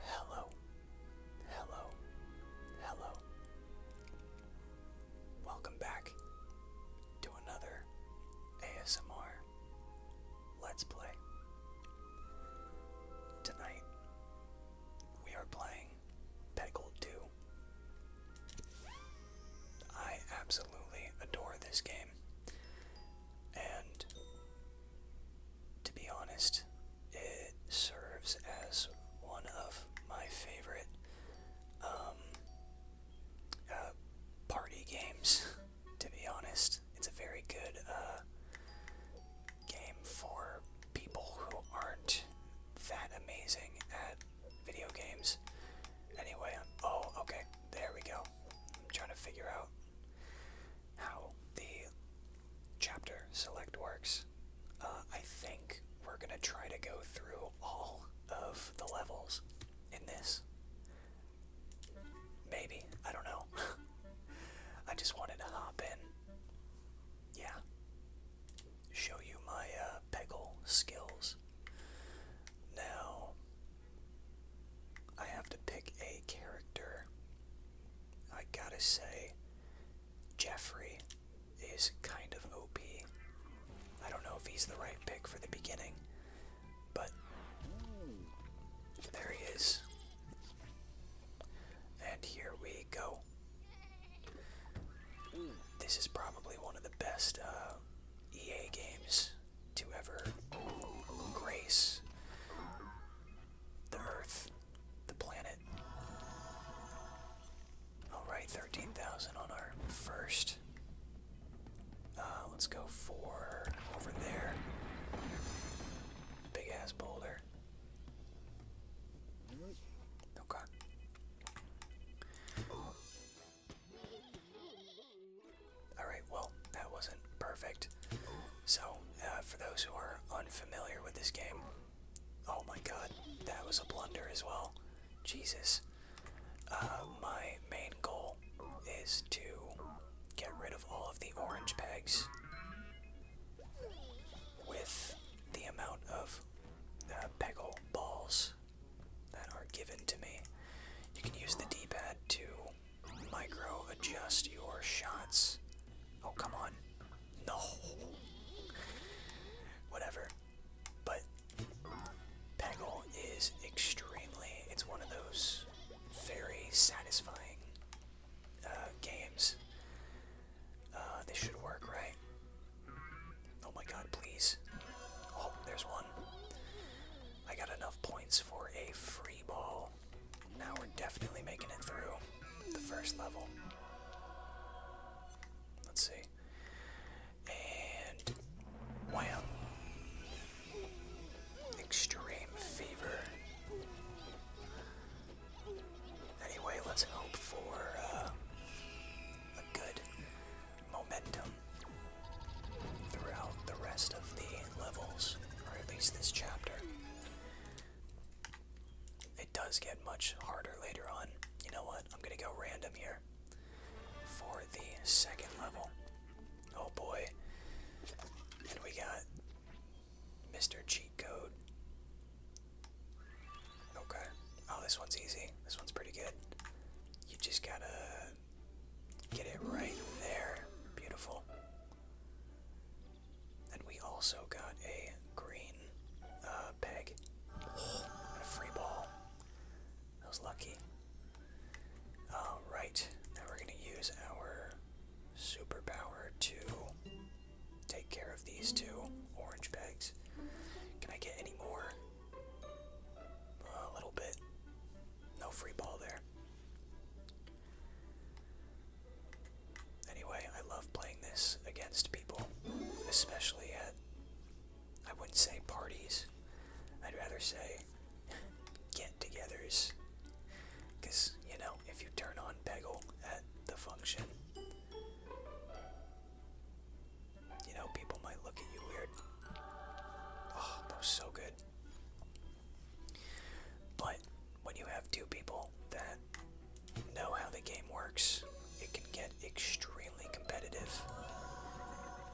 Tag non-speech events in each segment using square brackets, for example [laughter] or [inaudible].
Hello, hello, hello. Welcome back to another ASMR Let's Play. Tonight we are playing Peggle 2. I absolutely adore this game. And to be honest, it serves as one of my favorite um, uh, party games, to be honest. It's a very good uh, game for people who aren't that amazing at video games. Anyway, oh, okay, there we go. I'm trying to figure out how the chapter select works. Uh, I think we're gonna try to go through all of the levels in this. Maybe, I don't know. [laughs] I just wanted to hop in. Yeah. Show you my uh, Peggle skills. Now, I have to pick a character. I gotta say, Jeffrey is kind of OP. I don't know if he's the right pick for the beginning, but there he is. And here we go. This is probably one of the best uh, EA games to ever grace the earth, the planet. Alright, 13,000 on our first. Uh, let's go for over there. Big ass boulder. Okay. Alright, well, that wasn't perfect. So, uh, for those who are unfamiliar with this game, oh my god, that was a blunder as well. Jesus. Uh, my main goal is to get rid of all of the orange pegs with the amount of uh, peggle balls that are given to me. You can use the D-pad to micro adjust your shots. Oh, come on. No. Whatever. But Peggle is extremely, it's one of those very satisfying uh, games. Uh, this should work, right? Oh my god, please. Oh, there's one. I got enough points for a free ball. Now we're definitely making it through the first level. Let's see. And wham. Extreme fever. Anyway, let's hope for uh, a good momentum throughout the rest of the levels, or at least this chapter. It does get much harder later on. You know what? I'm gonna go random here for the second level. Oh boy. And we got Mr. Cheat Code. Okay. Oh, this one's easy. This one's pretty good. You just gotta get it right there. Beautiful. And we also got a green uh, peg and a free ball. I was lucky. All right, now we're gonna use our superpower to take care of these two orange pegs. Can I get any more? A little bit. No free ball there. Anyway, I love playing this against people, especially at, I wouldn't say parties, I'd rather say get togethers. Because, you know, if you turn on Peggle at the function, you know, people might look at you weird. Oh, that was so good. But when you have two people that know how the game works, it can get extremely competitive.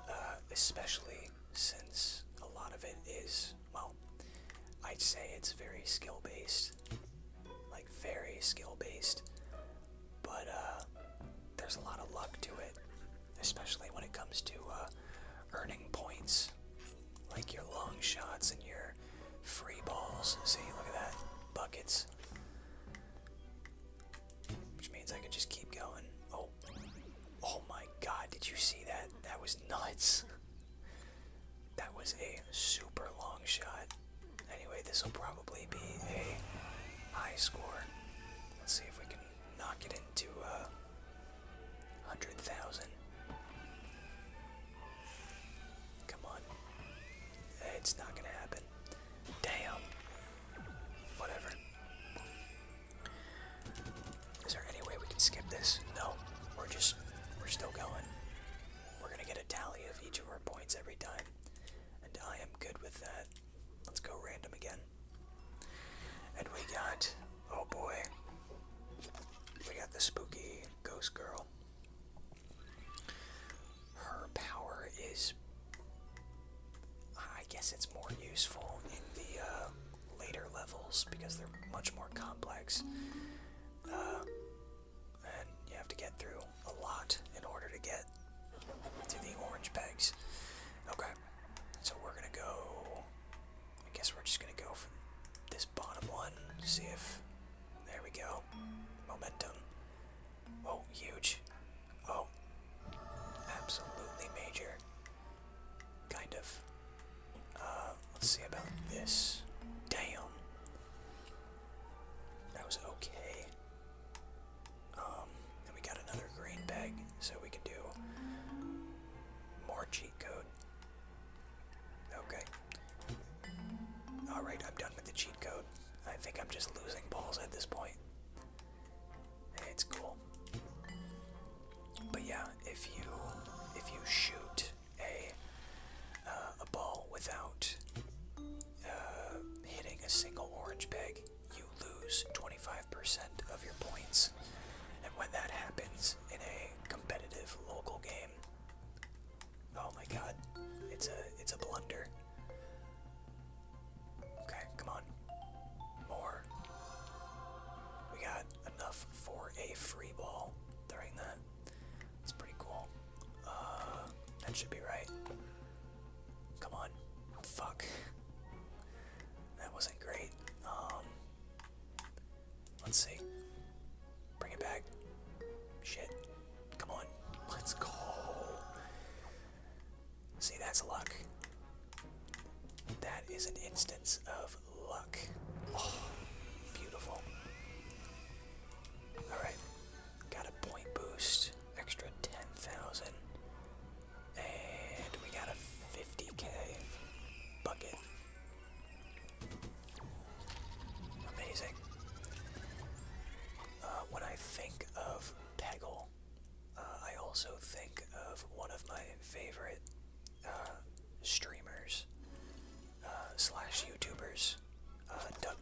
Uh, especially since a lot of it is, well, I'd say it's very skill based. Like, very skill based. But, uh, there's a lot of luck to it especially when it comes to uh, earning points, like your long shots and your free balls. See, look at that, buckets. Which means I can just keep going. Oh, oh my God! Did you see that? That was nuts. That was a super long shot. Anyway, this will probably be a high score. Let's see if we can knock it into a uh, 100,000. Come on. It's not gonna happen. Damn. Whatever. Is there any way we can skip this? No. We're just, we're still going. We're gonna get a tally of each of our points every time. And I am good with that. Let's go random again. And we got, oh boy, we got the spooky ghost girl. Her power is, I guess it's more useful in the uh, later levels because they're much more complex. Uh, and you have to get through a lot in order to get to the orange bags. Okay, so we're gonna go. I guess we're just gonna go from this bottom one. See if. There we go. Momentum. Oh, huge. Oh. Absolutely major. Kind of. Uh, let's see about this. Damn. That was okay. Um, and we got another green peg, so we can do more cheat code. Okay. Alright, I'm done with the cheat code. I think I'm just losing balls at this point. It's cool. But yeah, if you if you shoot a uh, a ball without uh, hitting a single orange peg, you lose 25% of your points. And when that happens in a competitive local game, oh my god, it's a it's a blunder. Okay, come on. More. We got enough for a free ball during that. It's pretty cool. Uh, that should be right. Come on. Fuck. That wasn't great. Um, let's see. Bring it back. Shit. Come on. Let's go. See, that's luck. That is an instance of luck. Oh, beautiful. Alright. Got a point boost. Extra 10,000. And we got a 50k bucket. Amazing. Uh, when I think of Peggle, uh, I also think of one of my favorite uh, streamers slash YouTubers, uh, Doug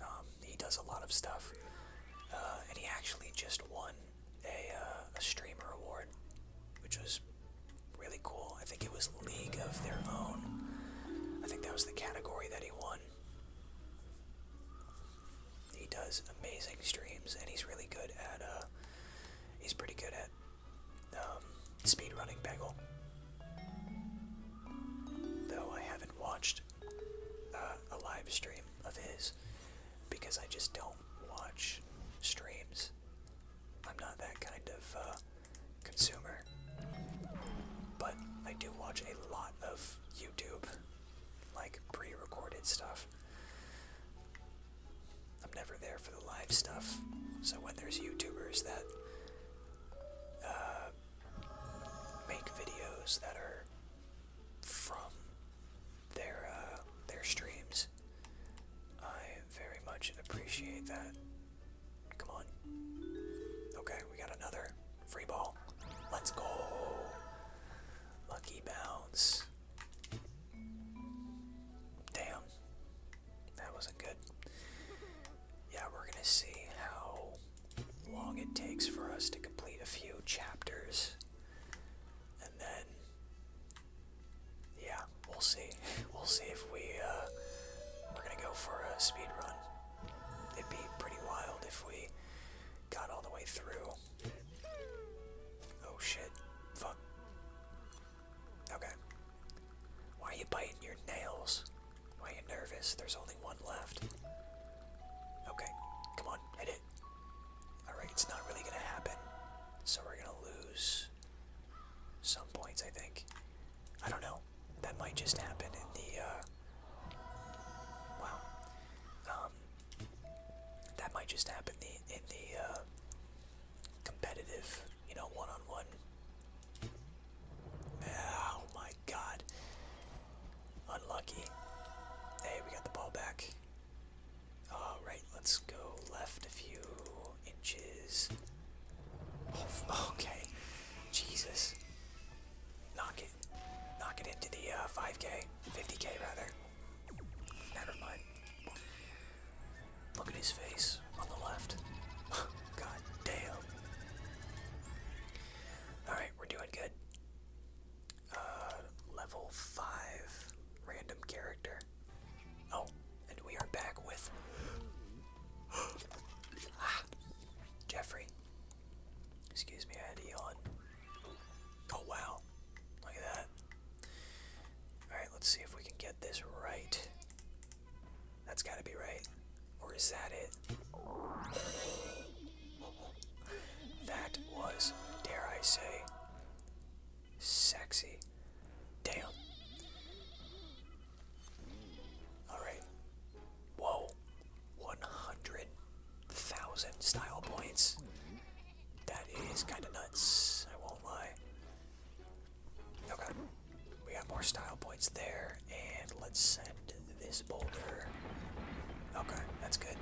um, he does a lot of stuff, uh, and he actually just won uh, a, streamer award, which was really cool. I think it was League of Their Own. I think that was the category that he won. He does amazing streams, and he's really good at, uh, he's pretty good at, um, speed running Bagel. Though I haven't watched uh, a live stream of his because I just don't watch streams. I'm not that kind of uh, consumer. But I do watch a lot of YouTube, like pre recorded stuff. I'm never there for the live stuff. So when there's YouTubers that uh, make videos that are from their uh, their streams. I very much appreciate that. Come on. Okay, we got another free ball. Let's go. Lucky bounce. Damn. That wasn't good. Yeah, we're gonna see how long it takes for us to complete a few chapters. And then, yeah, we'll see. [laughs] We'll see if we, uh, we're gonna go for a speed run. It'd be pretty wild if we got all the way through. Oh shit. Fuck. Okay. Why are you biting your nails? Why are you nervous? There's only one left. Okay, come on, hit it. Alright, it's not really gonna happen. So we're gonna lose some points, I think. I don't know. That might just happen in the, uh, Wow. Um, that might just happen the, in the, uh, competitive, you know, one-on-one. -on my god. Unlucky. Hey, we got the ball back. Alright, let's go left a few inches. Oh, okay. Jesus. Knock it. Knock it into the 5k. Uh, 50k, rather. Never mind. Look at his face on the left. [laughs] God damn. Alright, we're doing good uh, level 5 random character. Oh, and we are back with [gasps] ah, Jeffrey. Excuse me, I had to yawn. Oh wow, look at that. Alright, let's see if we can get this right. That's gotta be right. Or is that it? that was, dare I say, sexy. Damn. Alright. Whoa. 100,000 style points. That is kind of nuts. I won't lie. Okay. We got more style points there and let's send this boulder. Okay, that's good.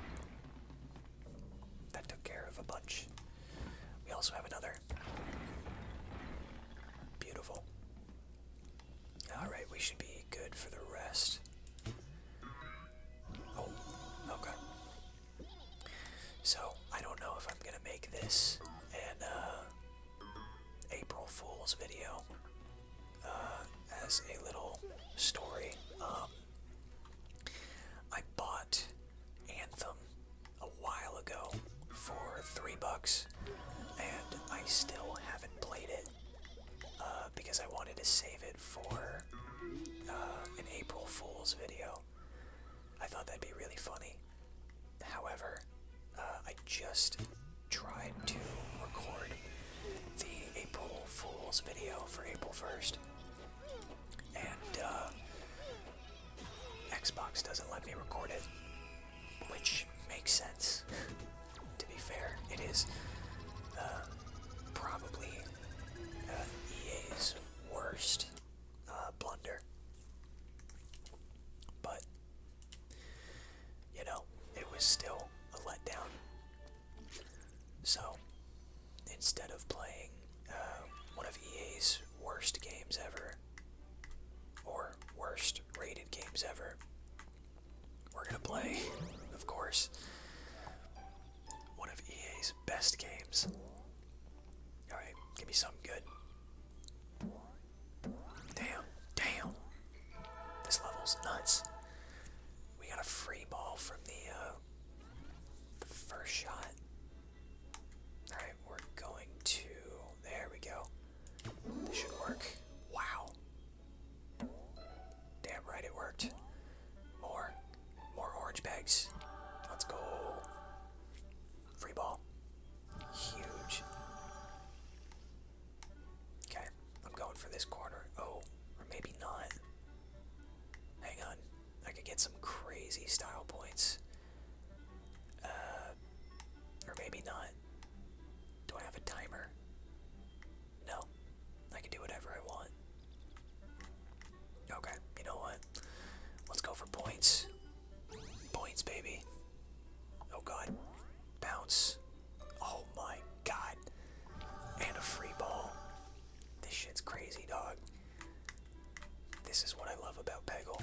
That took care of a bunch. We also have another. Beautiful. Alright, we should be good for the rest. Oh, okay. So, I don't know if I'm gonna make this an uh, April Fool's video. Uh, as a little story. Um, I bought Anthem a while ago for three bucks, and I still haven't played it uh, because I wanted to save it for uh, an April Fool's video. I thought that'd be really funny. However, I just tried to record the April Fool's video for April 1st, and uh, Xbox doesn't let me record it, which makes sense. [laughs] to be fair, it is uh, probably uh, EA's worst uh, blunder. But you know, it was still a letdown. So, instead of playing uh, one of EA's worst games ever, or worst rated games ever, we're gonna play, of course, one of EA's best games. Alright, give me some good. Damn, damn, this level's nuts. We got a free ball from the uh, the first shot. All right, we're going to. There we go. This should work. Wow. Damn right it worked. More, more orange bags. Let's go. Free ball. Huge. Okay, I'm going for this corner. Oh, or maybe not. Hang on. I could get some crazy style points. Uh, or maybe not. Do I have a timer? No. I can do whatever I want. Okay, you know what? Let's go for points. Points, baby. Oh god. Bounce. Oh my god. And a free ball. This shit's crazy, dog. This is what I love about Peggle.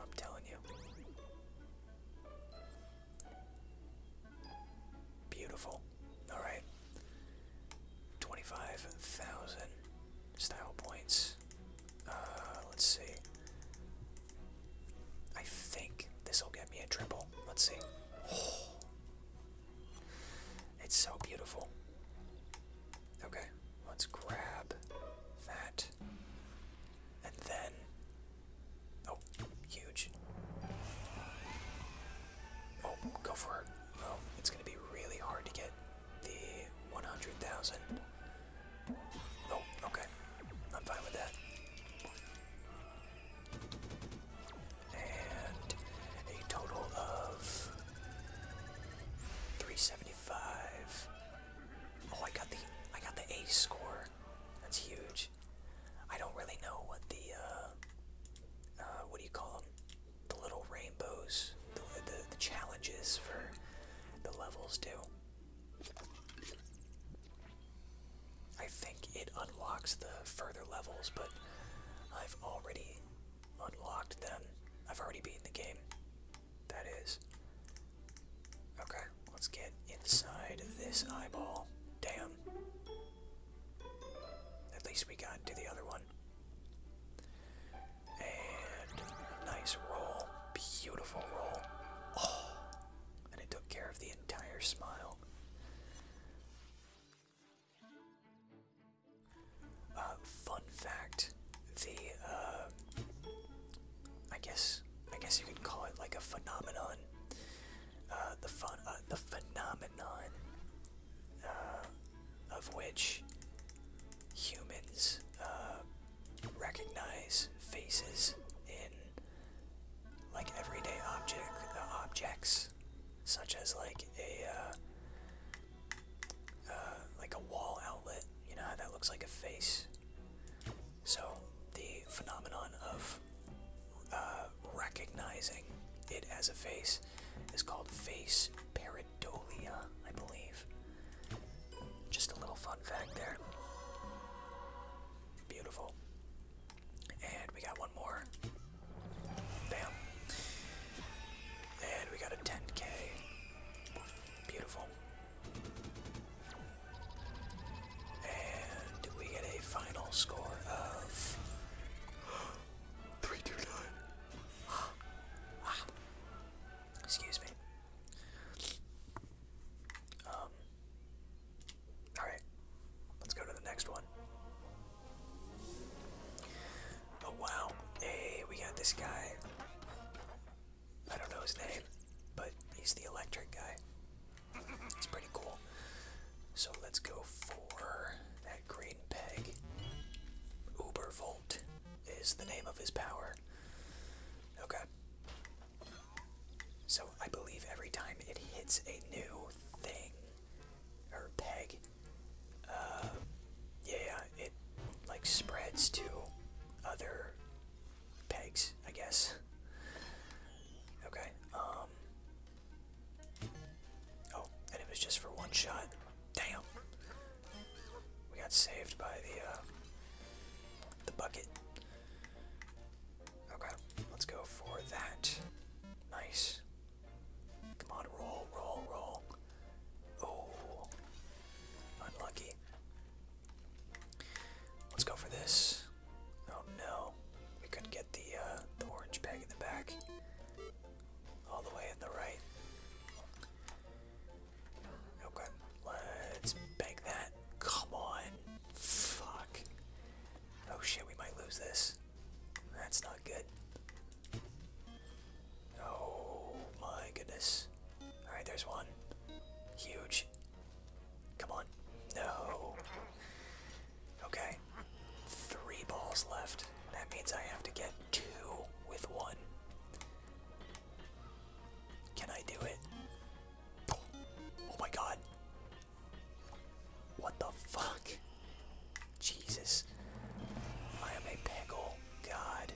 I'm telling you. Beautiful. Alright. 25,000 style points. Uh, let's see. I think this will get me a triple. Let's see. [gasps] It's so beautiful. Okay, let's grab that. And then. Oh, huge. Oh, go for it. Oh, it's going to be really hard to get the 100,000. Oh, okay. I'm fine with that. And a total of 375. Oh, I got the I got the ace score. That's huge. I don't really know what the uh, uh what do you call them? The little rainbows, the, the challenges for the levels do. I think it unlocks the further levels, but I've already unlocked them. I've already beaten the game. That is. Okay, let's get inside this eyeball. Damn. At least we got to the other one. And nice roll. Beautiful roll. Oh, and it took care of the entire smile. Uh, fun fact: the uh, I guess I guess you can call it like a phenomenon. Uh, the fun the phenomenon of which humans recognize faces in like everyday object uh, objects, such as like a uh, uh, like a wall outlet. You know that looks like a face. So the phenomenon of recognizing it as a face is called face pareidolia, I believe. Just a little fun fact there. Beautiful. And we got one more. Bam. And we got a 10k. Beautiful. And we get a final score of [gasps] 329. [gasps] Ah. Excuse me. Um Alright, let's go to the next one. Oh wow, hey, we got this guy. I don't know his name, but he's the electric guy. He's pretty cool. So let's go for that green peg. Ubervolt is the name of his power. Okay. So I believe every time it hits a new thing or peg, um, yeah, it like spreads to other pegs, I guess. Okay. Um, oh, and it was just for one shot. Damn. We got saved by the uh, the bucket. Okay, let's go for that. Nice. Come on, roll, roll, roll. Oh, unlucky. Let's go for this. Oh no, we couldn't get the uh, the orange peg in the back. All the way in the right. Okay, let's bank that. Come on, fuck. Oh shit, we might lose this. That's not good. Oh my goodness. Alright, there's one. Huge. Come on. No. Okay. Three balls left. That means I have to get two with one. Can I do it? Oh my god. What the fuck? Jesus. I am a pickle. God.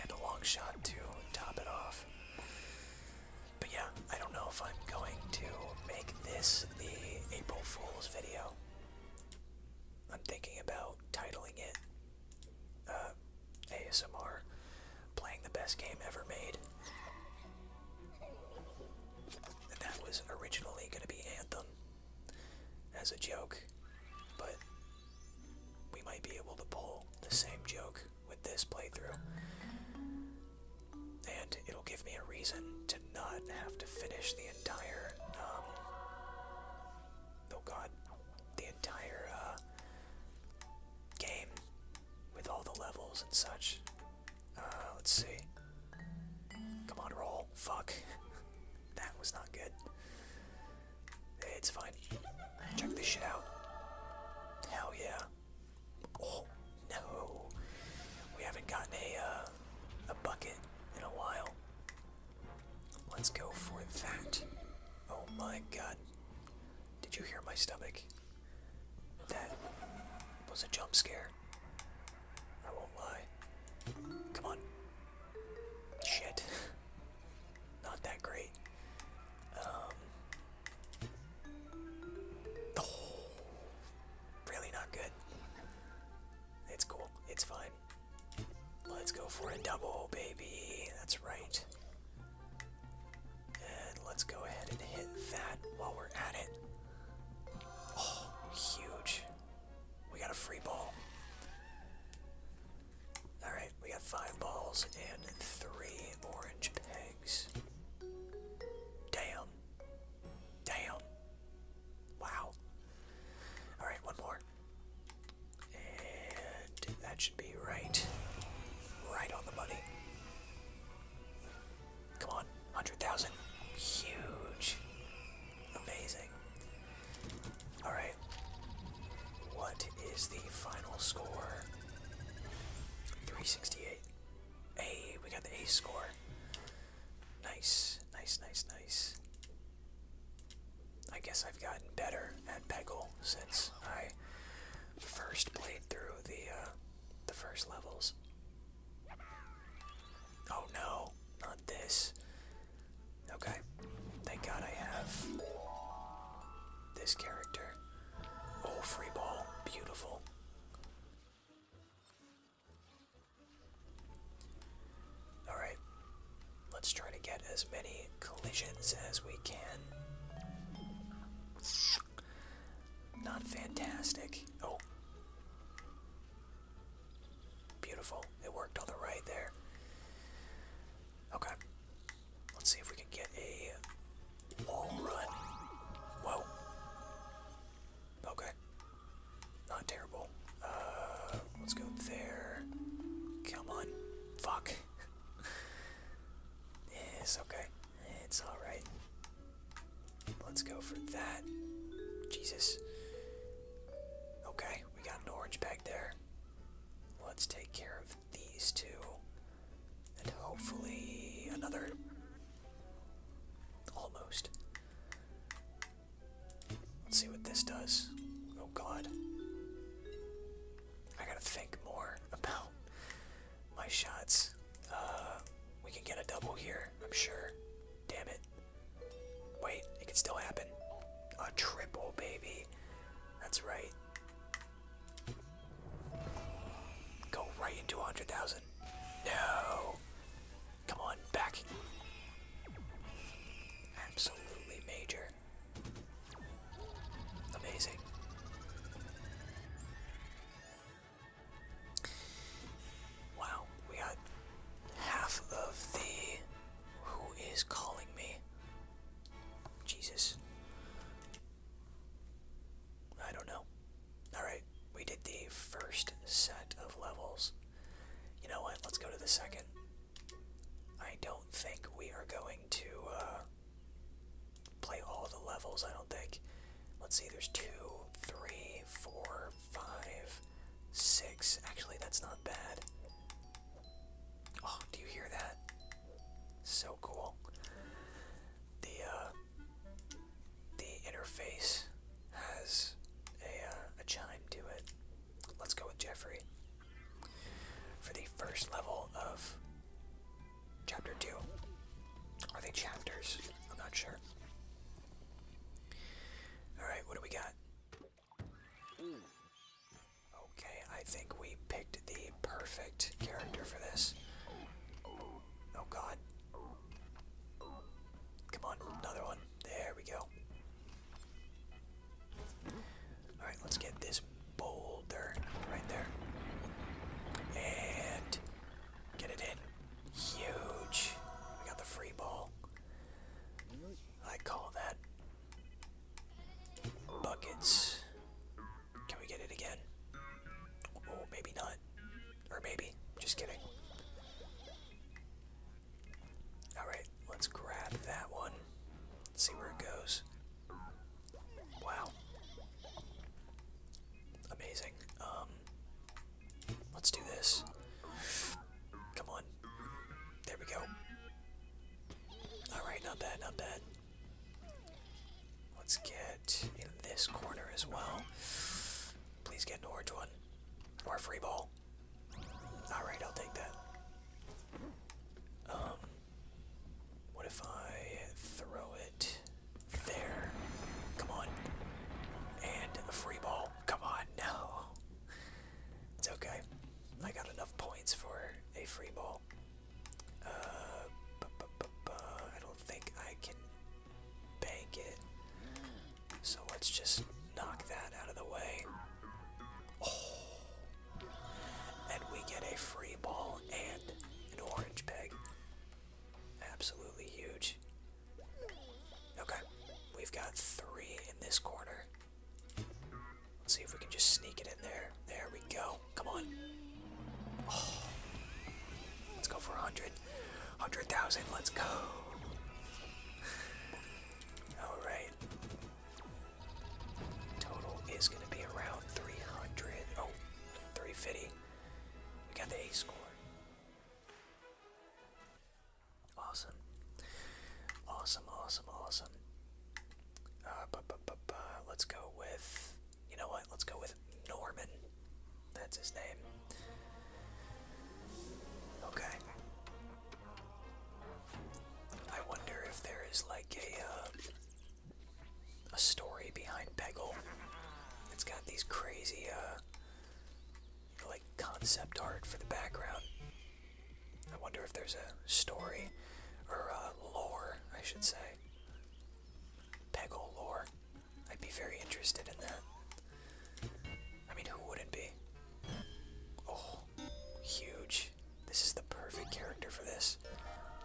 And a long shot to top it off. But yeah, I don't know if I'm going to make this the April Fool's video. I'm thinking about titling it uh, ASMR playing the best game ever made. that was originally going to be Anthem as a joke, but we might be able to pull the same joke with this playthrough. And it'll give me a reason to not have to finish the entire, um, oh god, the entire, uh, game with all the levels and such. Uh, let's see. Come on, roll. Fuck. [laughs] that was not good. It's fine. Check this shit out. Hell yeah. Oh, no. We haven't gotten a, uh, a bucket in a while. Let's go for that. Oh my god. Did you hear my stomach? That was a jump scare. I won't lie. Come on. Shit. [laughs] Not that great. Um. really not good. It's cool. It's fine. Let's go for a double, baby. That's right. And let's go ahead and hit that while we're at it. Oh, huge. We got a free ball. Alright, we got five balls and three orange pegs. Damn. Damn. Wow. Alright, one more that should be right. Right on the money. Come on, 100,000. Huge. Amazing. Alright. What is the final score? 368. A, we got the A score. Nice, nice, nice, nice. I guess I've gotten better at Peggle since I first played through the uh, the first levels. Oh no, not this. Okay, thank God I have this character. Oh, free ball, beautiful. Alright, let's try to get as many collisions as we can. Not fantastic. Oh. Beautiful. It worked on the right there. Okay. Let's see if we can get a wall run. Whoa. Okay. Not terrible. Uh, let's go there. Come on. Fuck. [laughs] yes, okay. It's alright. Let's go for that. Jesus. Okay, we got an orange back there. Let's take care of these two. And hopefully another. Almost. Let's see what this does. Oh god. I gotta think more about my shots. Uh, we can get a double here, I'm sure. Damn it. Wait, it can still happen. A triple, baby. That's right. Go right into 100,000. No. Come on, back. Absolutely major. Amazing. Wow, we got half of the. Who is calling me? Jesus. I don't know. Alright, we did the first set of levels. You know what? Let's go to the second. I don't think we are going to uh, play all the levels, I don't think. Let's see, there's two, three, four, five, six. Actually, that's not bad. Oh, do you hear that? So cool. The, uh, the interface has a, uh, a chime to it. Let's go with Jeffrey. For the first level of Chapter 2. Are they chapters? I'm not sure. Alright, what do we got? Okay, I think we picked the perfect character for this. Oh god. Come on, another one. There we go. Alright, let's get this boulder right there. And get it in. Huge. We got the free ball. I call that buckets. Can we get it again? Oh, maybe not. Or maybe. Just kidding. Alright, let's grab that one. see where it goes. Wow. Amazing. Um let's do this. Come on. There we go. Alright, not bad, not bad. Let's get in this corner as well. Please get an orange one. Or a free ball. Alright, I'll take that. Um what if I throw it there? Come on. And a free ball. Come on, no. It's okay. I got enough points for a free ball. Uh, I don't think I can bank it. So let's just knock that out of the way. Oh, and we get a free ball and an orange peg. Absolutely huge. Okay, we've got three in this corner. Let's see if we can just sneak it in there. There we go. Come on. Oh. Let's go for 100. 100,000. Let's go. Alright. Total is going to be around 300. Oh, 350. We got the A score. Awesome. Awesome, awesome, awesome. Uh, bu -bu -bu -bu. Let's go with. You know what? Let's go with Norman. That's his name. Okay. I wonder if there is like a. Uh, a story behind Peggle. It's got these crazy, uh, like concept art for the background. I wonder if there's a story or uh, lore, I should say. Peggle lore. I'd be very interested in that. I mean, who wouldn't be? Oh, huge. This is the perfect character for this.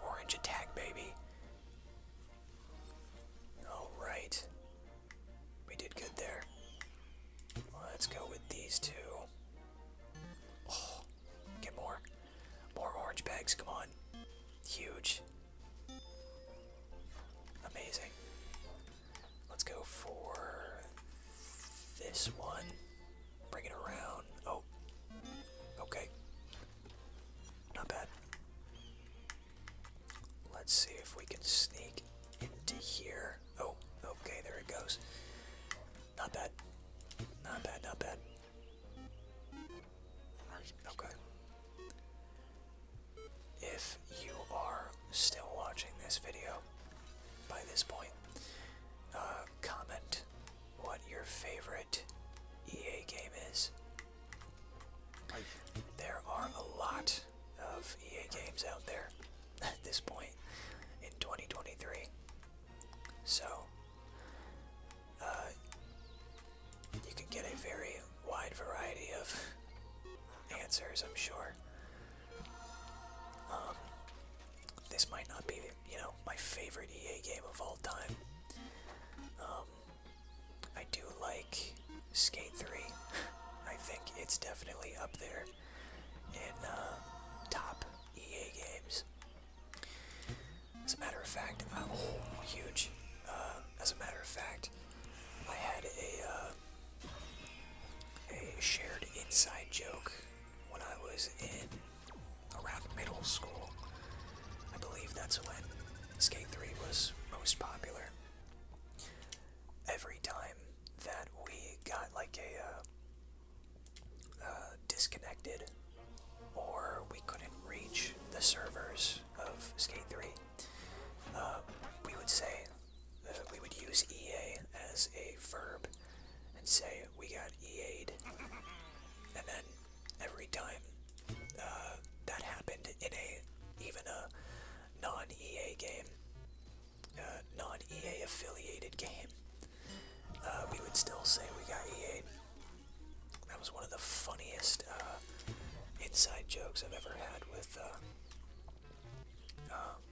Orange attack, baby. Alright. We did good there. Let's go with these two. Oh, get more. More orange bags, come on. Huge. Amazing. Let's go for this one. Bring it around. Oh. Okay. Not bad. Let's see if we can sneak into here. Oh, okay, there it goes. Not bad. Not bad, not bad. Okay. If you are still watching this video by this point, uh, comment what your favorite EA game is. There are a lot of EA games out there [laughs] at this point in 2023. So, uh, you can get a very wide variety of [laughs] answers, I'm sure. Um, this might not be you know, my favorite EA game of all time. Um, I do like Skate 3. [laughs] I think it's definitely up there in uh, top EA games. As a matter of fact, uh, oh, huge. Uh, as a matter of fact, I had a uh, a shared inside joke when I was in around middle school. I believe that's when Skate 3 was most popular. Every time that we got like a uh, uh, disconnected or we couldn't reach the servers of Skate 3, um, we would say, uh, we would use EA as a verb and say, we got EA'd. And then every time uh, that happened in a even a non-EA game, non-EA affiliated game, uh, we would still say we got EA. That was one of the funniest uh, inside jokes I've ever had with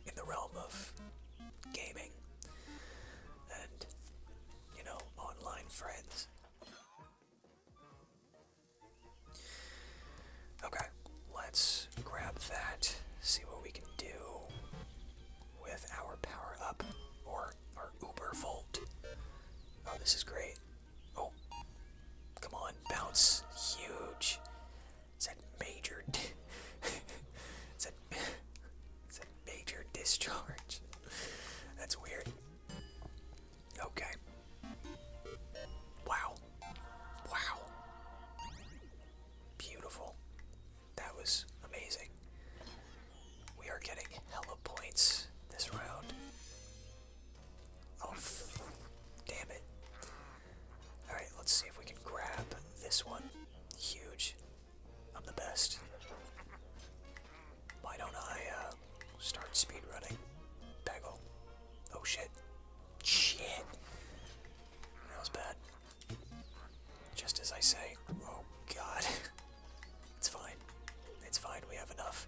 in the realm of gaming, you know, online friends. Okay, let's grab that, see what we can do with our power up or our Uber Volt. Oh, this is great. Oh, come on, bounce. Huge. It's a major. [laughs] it's a [laughs] it's a major discharge. That's weird. Okay. Wow. Wow. Beautiful. That was amazing. We are getting hella points this round. Oh, damn it. Alright, let's see if we can grab this one. Huge. I'm the best. Why don't I uh, start speedrunning? Peggle. Oh shit. Shit. That was bad. Just as I say. Oh god. [laughs] it's fine. It's fine. We have enough.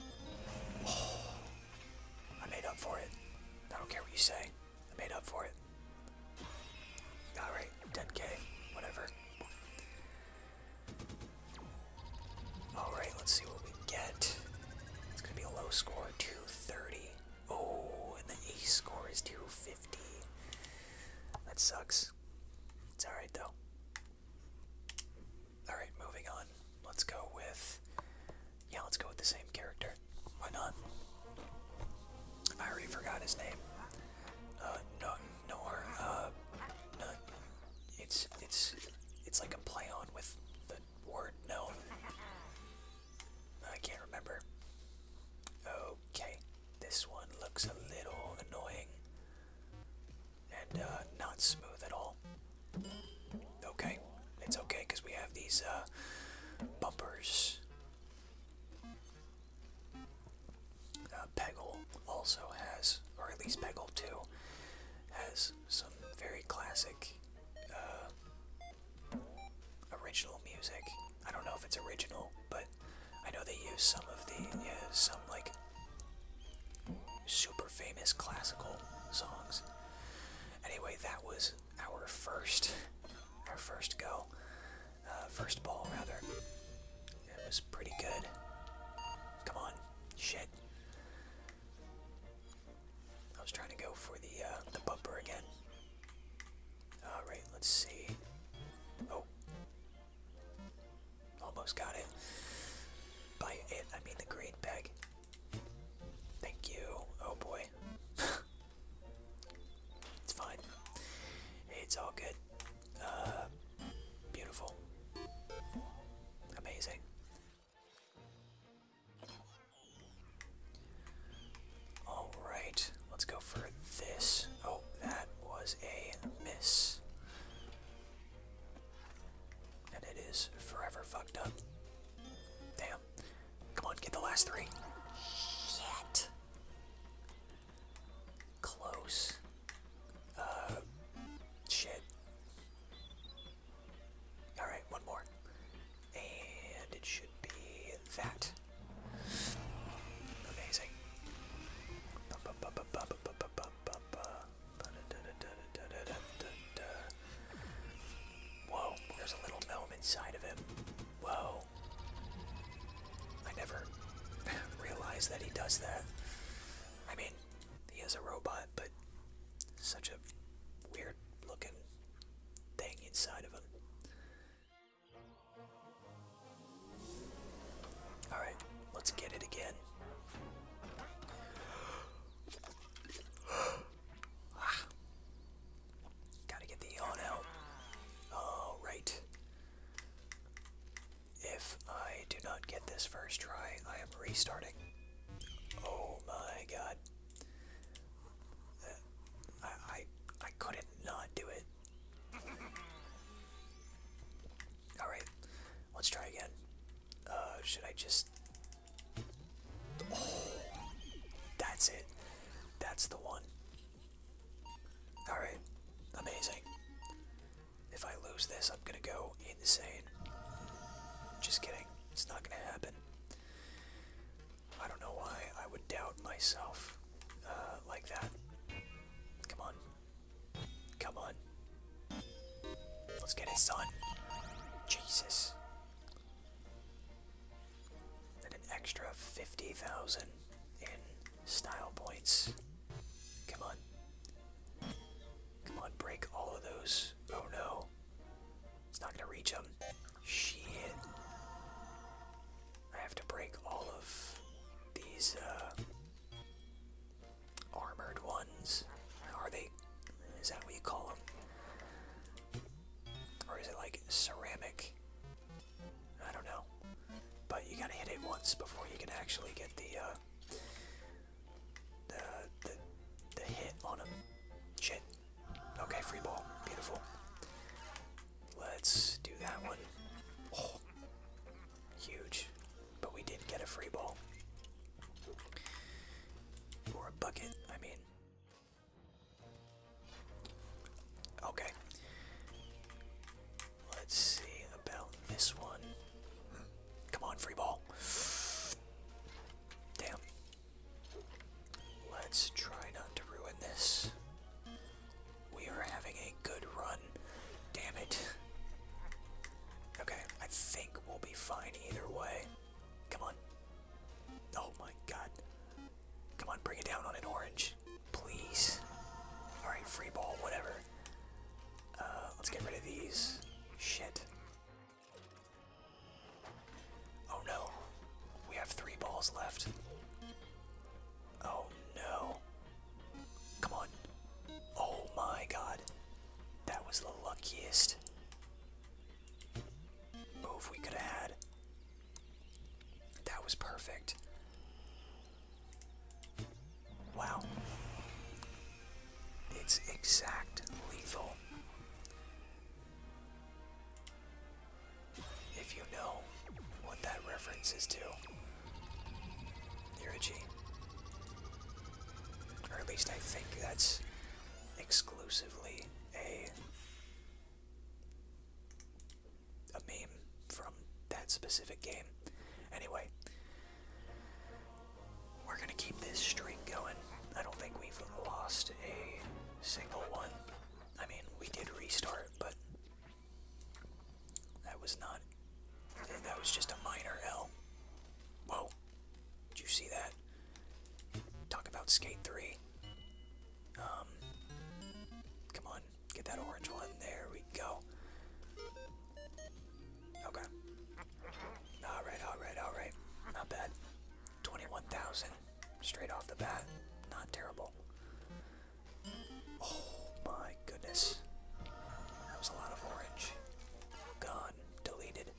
[sighs] I made up for it. I don't care what you say. I made up for it. Alright, 10k. Whatever. Alright, let's see what we get. It's going to be a low score, 230. Oh, and the ace score is 250. That sucks. It's alright though. Alright, moving on. Let's go with. Yeah, let's go with the same character. Why not? I already forgot his name. Uh, no, nor, uh, it's, it's, it's like a play on with the word no. I can't remember. Okay, this one looks a little annoying and uh, not smooth at all. Okay, it's okay because we have these bumpers. Uh, Peggle also has, or at least Peggle 2, has some very classic uh, original music. I don't know if it's original, but I know they use some of the, some like super famous classical songs. Anyway, that was our first, our first go. Uh, first ball rather. It was pretty good. Come on, shit. I was trying to go for the uh, the bumper again. All right, let's see. Oh, almost got it. By it, I mean the green peg. Thank you. Oh boy. [laughs] it's fine. It's all good. Uh, beautiful. Amazing. Alright, let's go for this. Oh, that was a miss. And it is forever fucked up. Damn. Come on, get the last three. Close. Uh, shit. Alright, one more. And it should be that. Amazing. Whoa, there's a little gnome inside of him. Whoa. I never [laughs] realized that he does that. I mean, he is a robot, but such a weird looking thing inside of him. Alright, let's get it again. [gasps] Ah. Gotta get the yawn out. Alright. Oh, if I do not get this first try, I am restarting. Oh my god. I, I, I couldn't not do it. Alright, let's try again. Uh, should I just... Oh, that's it. That's the one. Alright, amazing. If I lose this, I'm gonna go insane. Just kidding, it's not gonna happen. I don't know why I would doubt myself uh, like that. Come on. Come on. Let's get it, son. Jesus. And an extra 50,000 in Style points. Come on. Come on, break all of those. Oh no. It's not gonna reach them. Shit. I have to break all of these uh, armored ones. Are they? Is that what you call them? Or is it like ceramic? I don't know. But you gotta hit it once before you can actually get the, uh, the, the, hit on him. Shit. Okay, free ball. Beautiful. Let's do that one. Oh, huge. But we did get a free ball. Or a bucket, I mean. Okay. Let's see about this one. Come on, free ball. Damn. Let's try not to ruin this. We are having a good run. Damn it. Okay, I think we'll be fine either way. Come on. Oh my god. Come on, bring it down on an orange please. Alright, free ball, whatever. Uh, let's get rid of these. Shit. Oh no. We have three balls left. Oh no. Come on. Oh my god. That was the luckiest move we could have had. That was perfect. Wow. It's exact lethal. If you know what that reference is to, you're a Or at least I think that's exclusively a a meme from that specific game. Anyway, we're going to keep this streak going. I don't think we've lost a single one. I mean, we did restart, but that was not. That was just a minor L. Whoa. Did you see that? Talk about Skate 3. Um, come on. Get that orange one. There we go. Okay. Alright, alright, alright. Not bad. 21,000. Straight off the bat. Not terrible. Oh my goodness. That was a lot of orange. Gone. Deleted.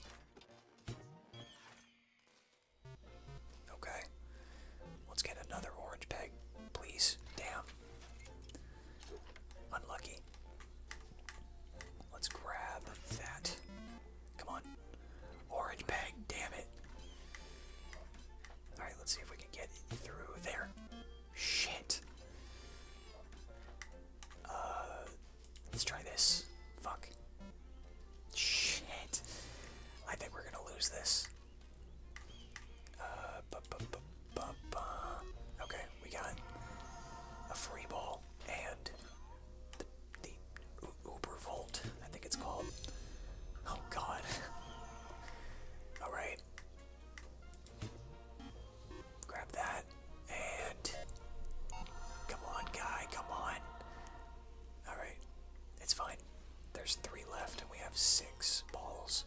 Okay. Let's get another orange peg, please. Damn. Unlucky. Let's grab that. Come on. Orange bag, damn it. Alright, let's see if we can get through there. Shit. Uh, let's try this. Fuck. Shit. I think we're gonna lose this. Uh, okay, we got a free ball and the Uber Volt, I think it's called. Oh god. [laughs] Alright. Grab that and. Come on, guy, come on. Alright, it's fine. There's three left and we have six balls.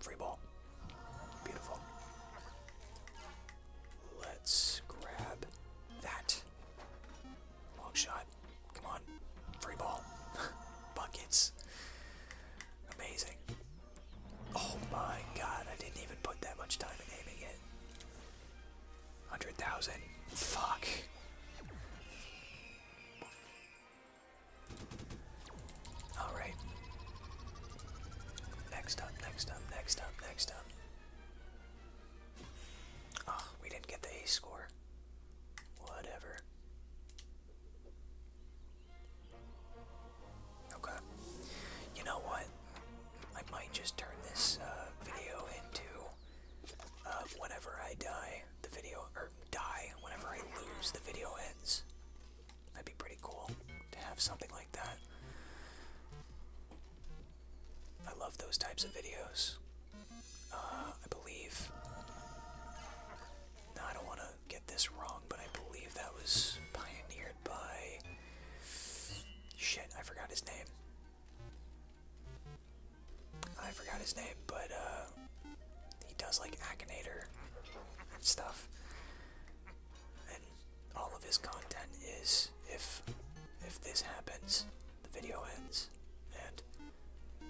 Free ball. Beautiful. Let's grab that. Long shot. Come on. Free ball. [laughs] Buckets. Amazing. Oh my god, I didn't even put that much time in aiming it. 100,000. Fuck. All right. Next up, next up, next up, next up. Oh, we didn't get the A score. Whatever. Okay. You know what? I might just turn this uh, video into uh, I die, the video, die whenever I lose, the video ends. That'd be pretty cool to have something like that. I love those types of videos. Uh, I believe. Now, I don't want to get this wrong, but I believe that was pioneered by. Shit, I forgot his name. I forgot his name, but uh, he does like Akinator stuff. And all of his content is if if this happens, the video ends, and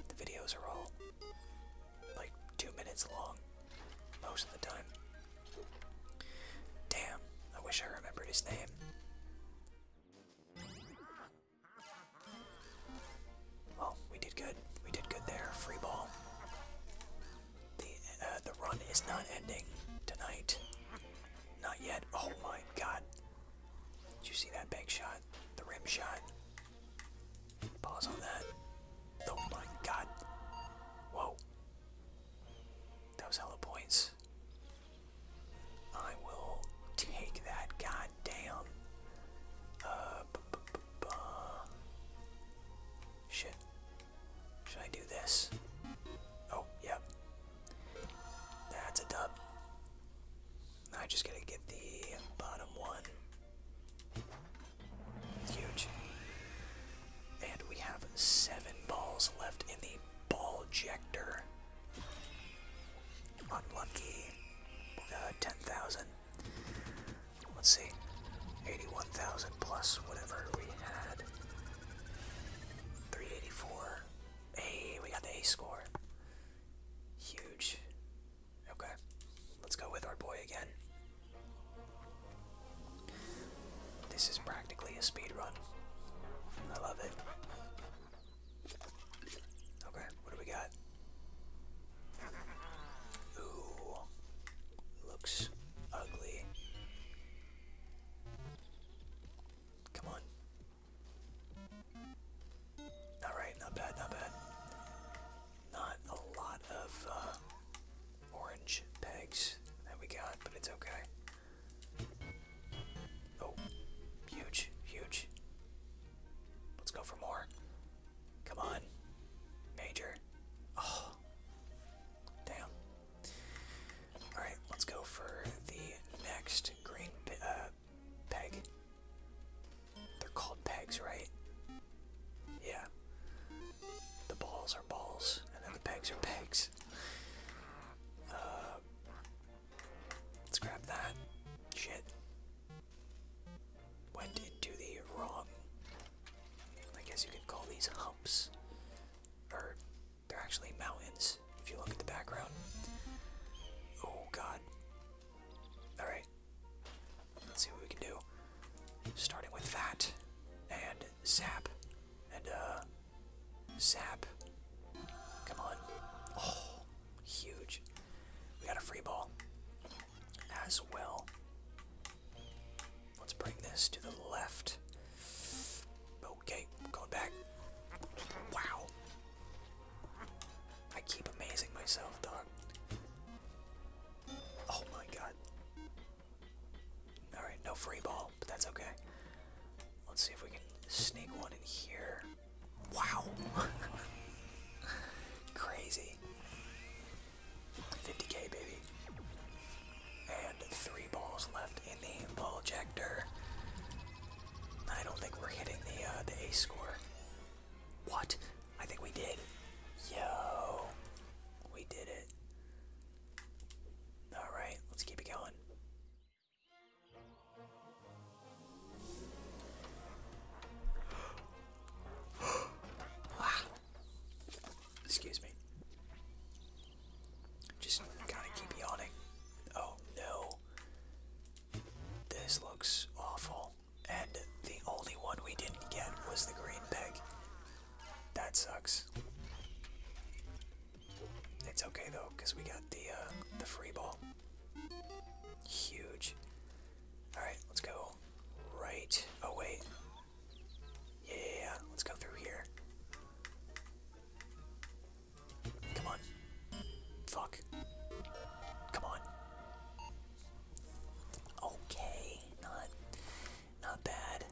the videos are all like two minutes long most of the time. Damn, I wish I remembered his name. Well, oh, we did good. We did good there. Free ball. The uh, the run is not ending tonight. Not yet. Oh my God! Did you see that big shot? The rim shot. Pause on that. Oh my God! Whoa! That was hella points. I will take that. God damn. Uh, Shit. Should I do this? Oh, yep. That's a dub. I just gotta get the bottom one. Huge. And we have seven balls left in the ball ejector. Unlucky. Uh, 10,000. Let's see, 81,000 plus whatever we had. 384. A. we got the A score. Huge. Okay, let's go with our boy again. This is practically a speed run. I love it. Okay, what do we got? Ooh, looks ugly. Come on. Alright, not bad, not bad. Not a lot of uh, orange pegs that we got, but it's okay. Oh, huge, huge. Let's go for more. Come on. Major. Oh. Damn. Alright, let's go for the next green uh, peg. They're called pegs, right? Yeah. The balls are balls, and then the pegs are pegs. Uh, Let's grab that. Shit. Went into the wrong. I guess you could call these humps. Or, they're actually mountains, if you look at the background. Oh god. Alright. Let's see what we can do. Starting with that. And zap. And, uh, Zap. Come on. Oh, huge. We got a free ball as well. Let's bring this to the left. Okay, going back. Wow. I keep amazing myself, dog. Oh my god. Alright, no free ball, but that's okay. Let's see if we can sneak one in here. Wow. [laughs] Crazy. 50k, baby. And three balls left in the ball ejector. I don't think we're hitting the uh, the ace score. What? I think we did. Yo, we did it. All right, let's keep it going. [gasps] Excuse me. Just gotta keep yawning. Oh no. This looks awful. And the only one we didn't get was the green peg. That sucks. It's okay though, because we got the uh, the free ball. Huge. Alright, let's go right. Oh, wait. Yeah, let's go through here. Come on. Fuck. Come on. Okay, not not bad.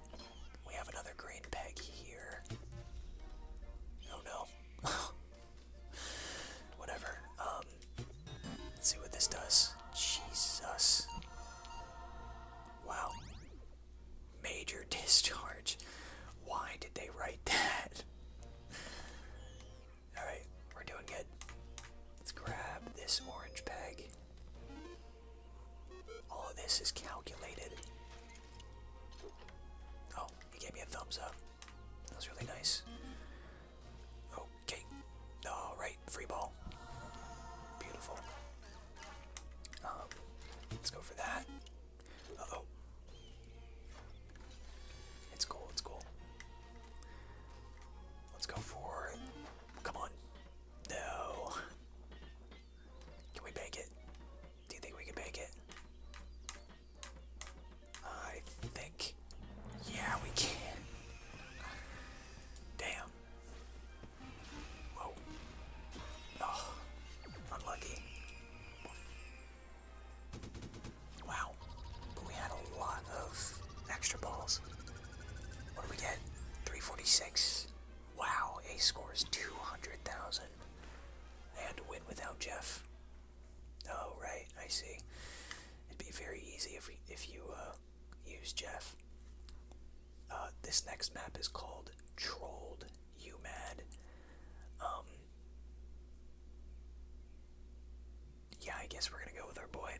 We have another green peg here. Oh no. [laughs] Whatever. Um, let's see what this does. Jesus. Wow. Major [laughs] discharge. Why did they write that? Alright, we're doing good. Let's grab this orange peg. All of this is calculated. Oh, he gave me a thumbs up. That was really nice. Okay. All right, free ball. Beautiful. Um, let's go for that. oh. It's cool. It's cool. Let's go for. Come on. No. Can we bake it? Do you think we can bake it? I think. Yeah, we can. Damn. Whoa. Oh, unlucky. Wow. we had a lot of extra balls. What do we get? 346. Wow, Ace scores 200,000. They had to win without Jeff. Oh, right, I see. It'd be very easy if, if you uh, use Jeff. Uh, this next map is called Trolled You Mad. Um, yeah, I guess we're gonna go with our boy.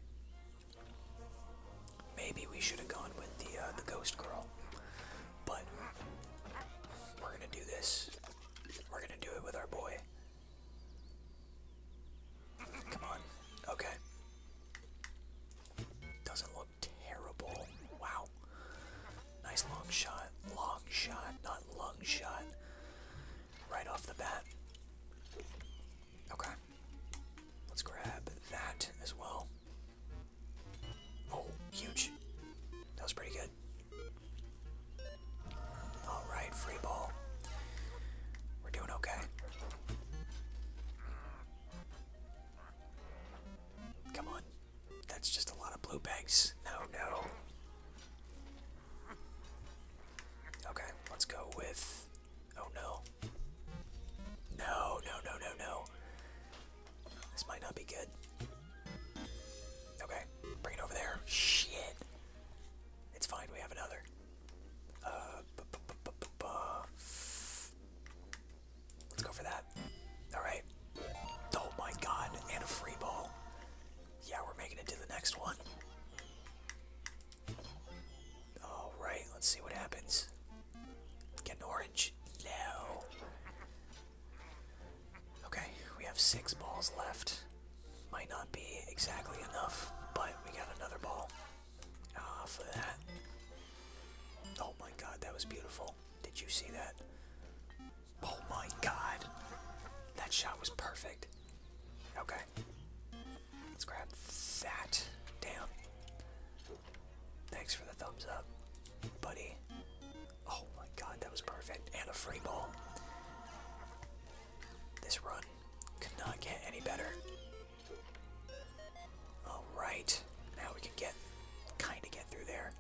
Maybe we should have gone with the uh, the ghost girl, but we're gonna do this. We're gonna do it with our boy. Come on. Okay. Doesn't look terrible. Wow. Nice long shot. Long shot, not lung shot. Right off the bat. Okay. Let's grab that as well. Oh, huge. That was pretty good. All right, free ball. We're doing okay. Come on. That's just a lot of blue banks. No, no. Okay, let's go with. Oh no. No, no, no, no, no. This might not be good. Okay, bring it over there. Shit. It's fine, we have another. Uh, let's go for that. Alright. Oh my god, and a free ball. Yeah, we're making it to the next one. Alright, let's see what happens. Get an orange. No. Okay, we have six balls left. Might not be exactly enough, but we got another ball ah, for that. Oh my god, that was beautiful. Did you see that? Oh my god. That shot was perfect. Okay. Let's grab that. Damn. Thanks for the thumbs up, buddy. Oh my god, that was perfect. And a free ball. This run could not get any better. Alright. Now we can get kinda get through there.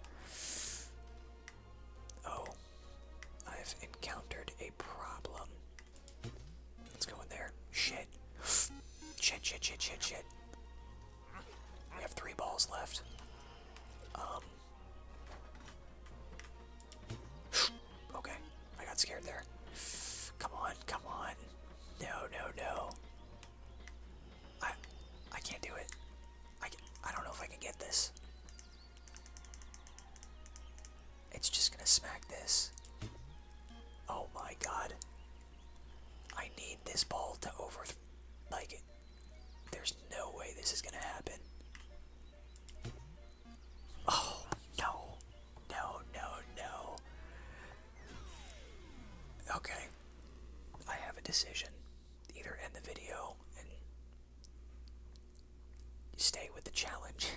Oh. I've encountered a problem. Let's go in there. Shit. [gasps] Shit, shit, shit, shit, We have three balls left. Um okay, I got scared there. Come on, come on. No, no, no. I, I can't do it. I, I don't know if I can get this. It's just gonna smack this. Oh my god. I need this ball to over... Like, it. there's no way this is gonna happen. Oh, no. No, no, no. Okay. I have a decision. Either end the video and stay with the challenge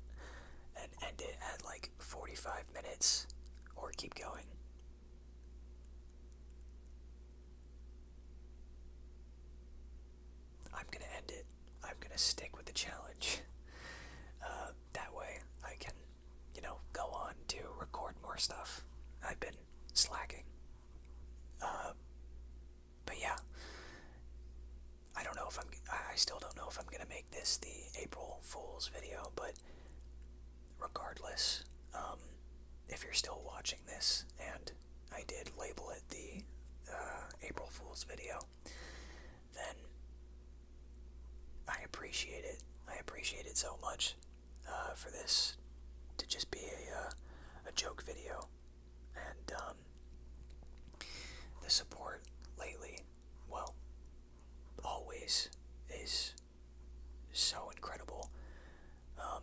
[laughs] and end it at like 45 minutes or keep going. I'm gonna end it. I'm gonna stick with the challenge. [laughs] Uh, that way I can, you know, go on to record more stuff. I've been slacking. Uh, but yeah, I don't know if I'm. I still don't know if I'm gonna make this the April Fool's video, but regardless, um, if you're still watching this and I did label it the uh, April Fool's video, then I appreciate it. I appreciate it so much uh, for this to just be a, uh, a joke video. And um, the support lately, well, always is so incredible. Um,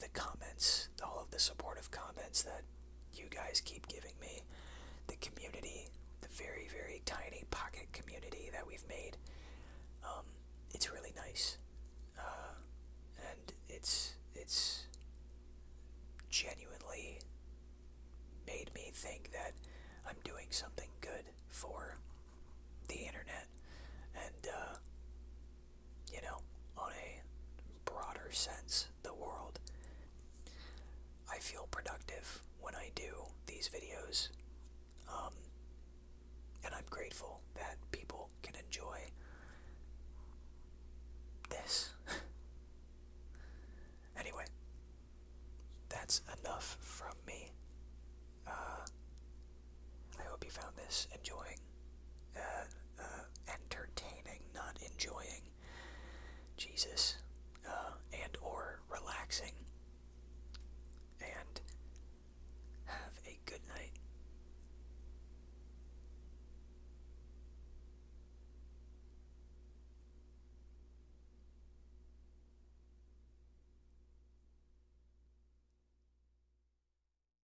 the comments, all of the supportive comments that you guys keep giving me, the community, the very, very tiny pocket community that we've made. Um, it's really nice. Uh, and it's, it's genuinely made me think that I'm doing something good for the internet. And, uh, you know, on a broader sense, the world. I feel productive when I do these videos, um, and I'm grateful that people can enjoy this. [laughs] anyway, that's enough from me. Uh, I hope you found this enjoying, uh, uh, entertaining, not enjoying. Jesus, uh, and or relaxing. And have a good night.